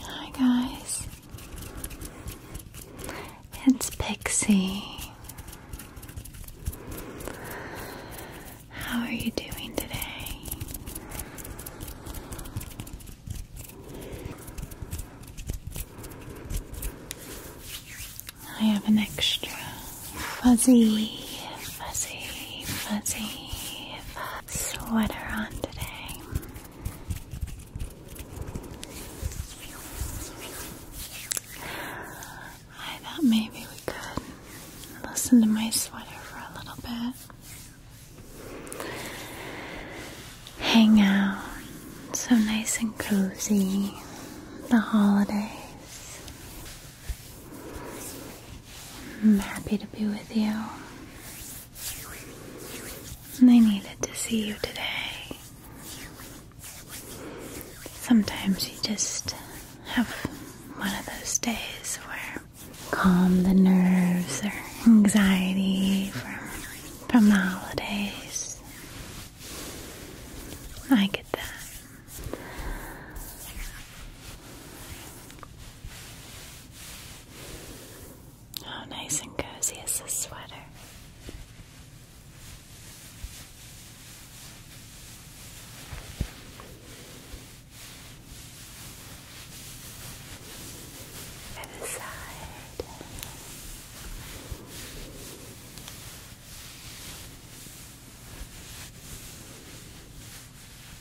Hi, guys. It's Pixie. How are you doing today? I have an extra fuzzy, fuzzy, fuzzy, fuzzy sweater on today. I thought maybe we could listen to my sweater for a little bit. Hang out. So nice and cozy. The holidays. I'm happy to be with you. And I needed to see you today. Sometimes you just have one of those days where calm the nerves or anxiety from from the holidays. I get that. How oh, nice and cozy is this sweater? By the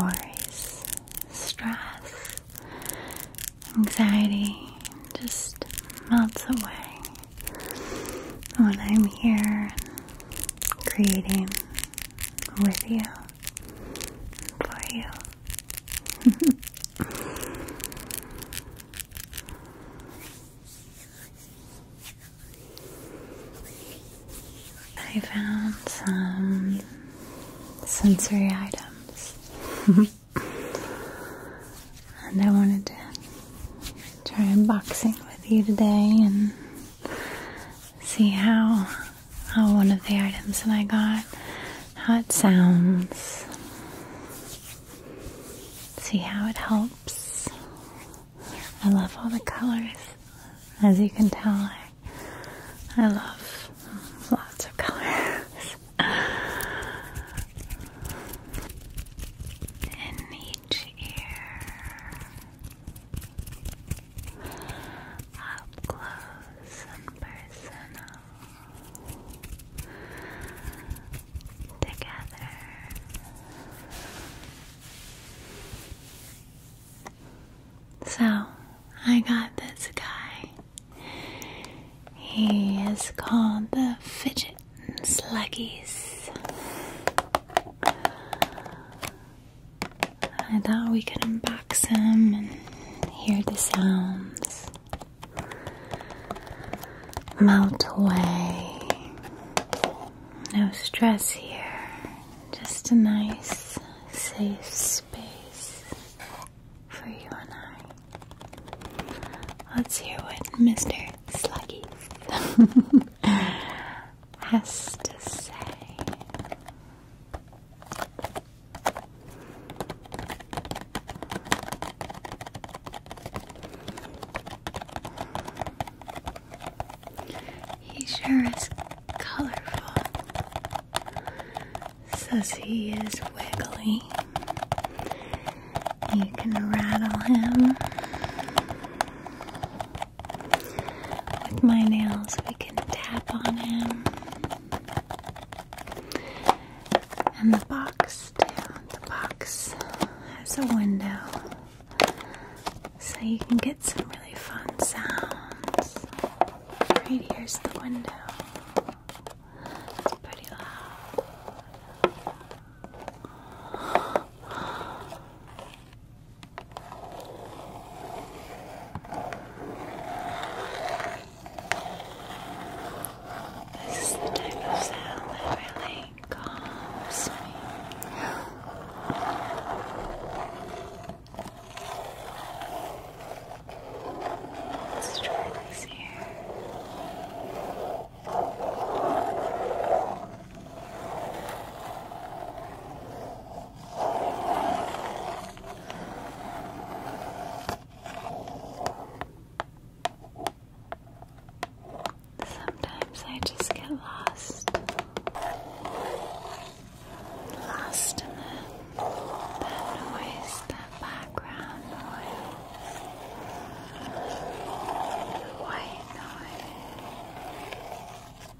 Worries, stress, anxiety just melts away when I'm here creating with you, for you. I found some sensory items and I wanted to try unboxing with you today and see how how one of the items that I got how it sounds see how it helps I love all the colors as you can tell I, I love lots of colors in each ear up close and personal. Together. So, I got this guy. He is called the Fidget Sluggies. I thought we could unbox them and hear the sounds melt away. No stress here, just a nice, safe space for you and I. Let's hear what Mr. Sluggy. has to say. He sure is colorful. Says he is wiggly. You can rattle him with my nails, we can tap on him. And the box, The box has a window so you can get some really fun sounds. Right here's the window. It's pretty loud. This is the type of sound that really calms me. let here. Sometimes I just get lost. Lost in the, that noise, that background noise, white noise.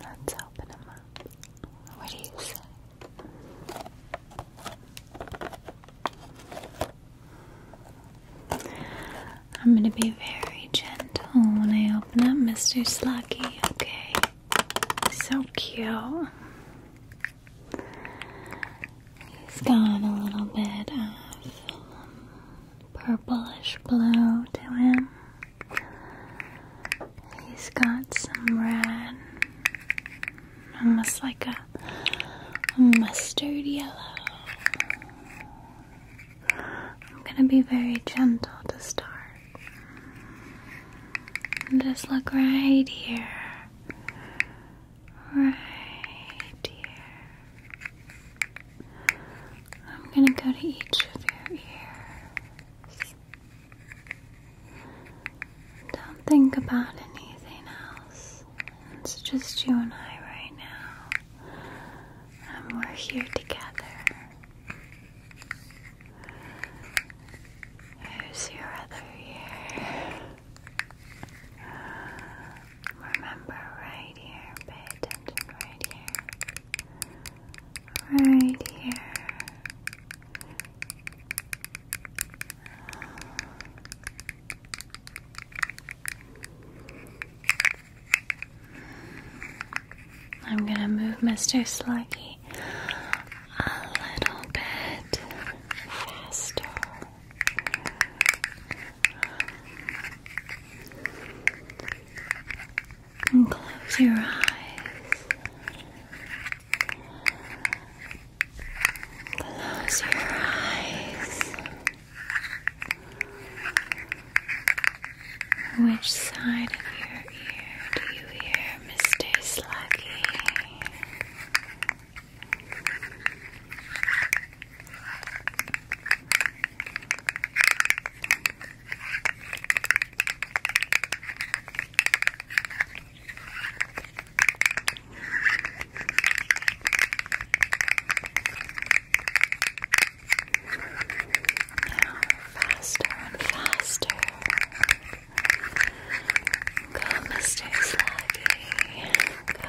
Let's open up. What do you say? I'm gonna be very gentle when I open up Mr. Slucky, okay? So cute. He's got a little bit of purplish blue to him. He's got some red, almost like a, mustard yellow. I'm gonna be very gentle to start. Just look right here. Right here. I'm going to go to each of your ears. Don't think about anything else. It's just you and I right now. And we're here together. Here's your other ear. Remember, right here, pay attention right here right here. I'm gonna move Mr. Sluggy a little bit faster. And close your eyes. Close your eyes. Which side of your ear do you hear, Mr. Sluggy? Now, faster and faster. Go, Mr. Sluggy. Go.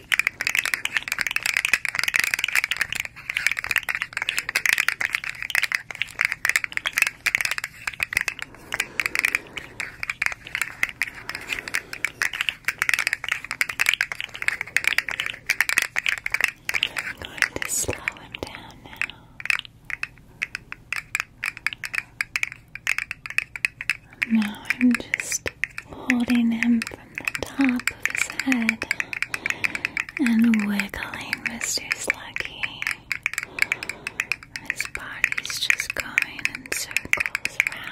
I'm going to slow him down now. Now I'm just holding him from the top of his head and wiggling Mr. Sluggy. His body's just going in circles around.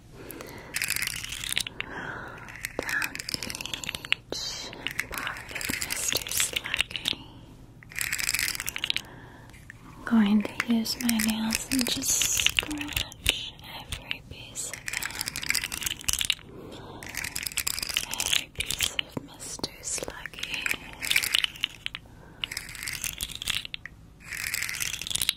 down each part of Mr. Sluggy. I'm going to use my nails and just scratch every piece of him. Every piece of Mr. Sluggy.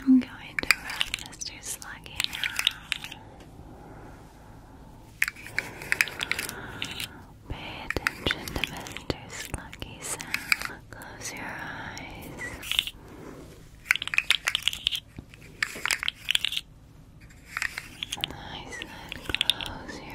I'm going to wrap Mr. Sluggy now. Pay attention to Mr. Sluggy's sound. Close your eyes. I said close your eyes just listen.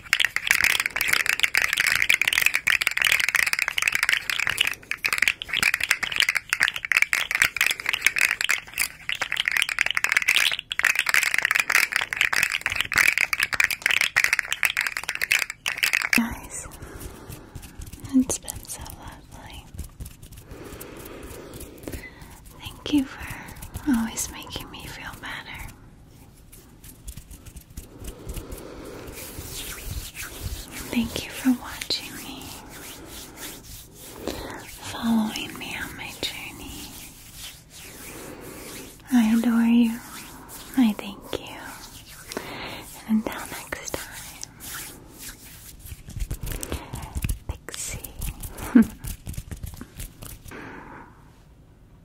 Guys, it's been so lovely. Thank you for always making me feel better. Thank you for watching me, following me on my journey. I adore you. I thank you. And until next time, Pixie.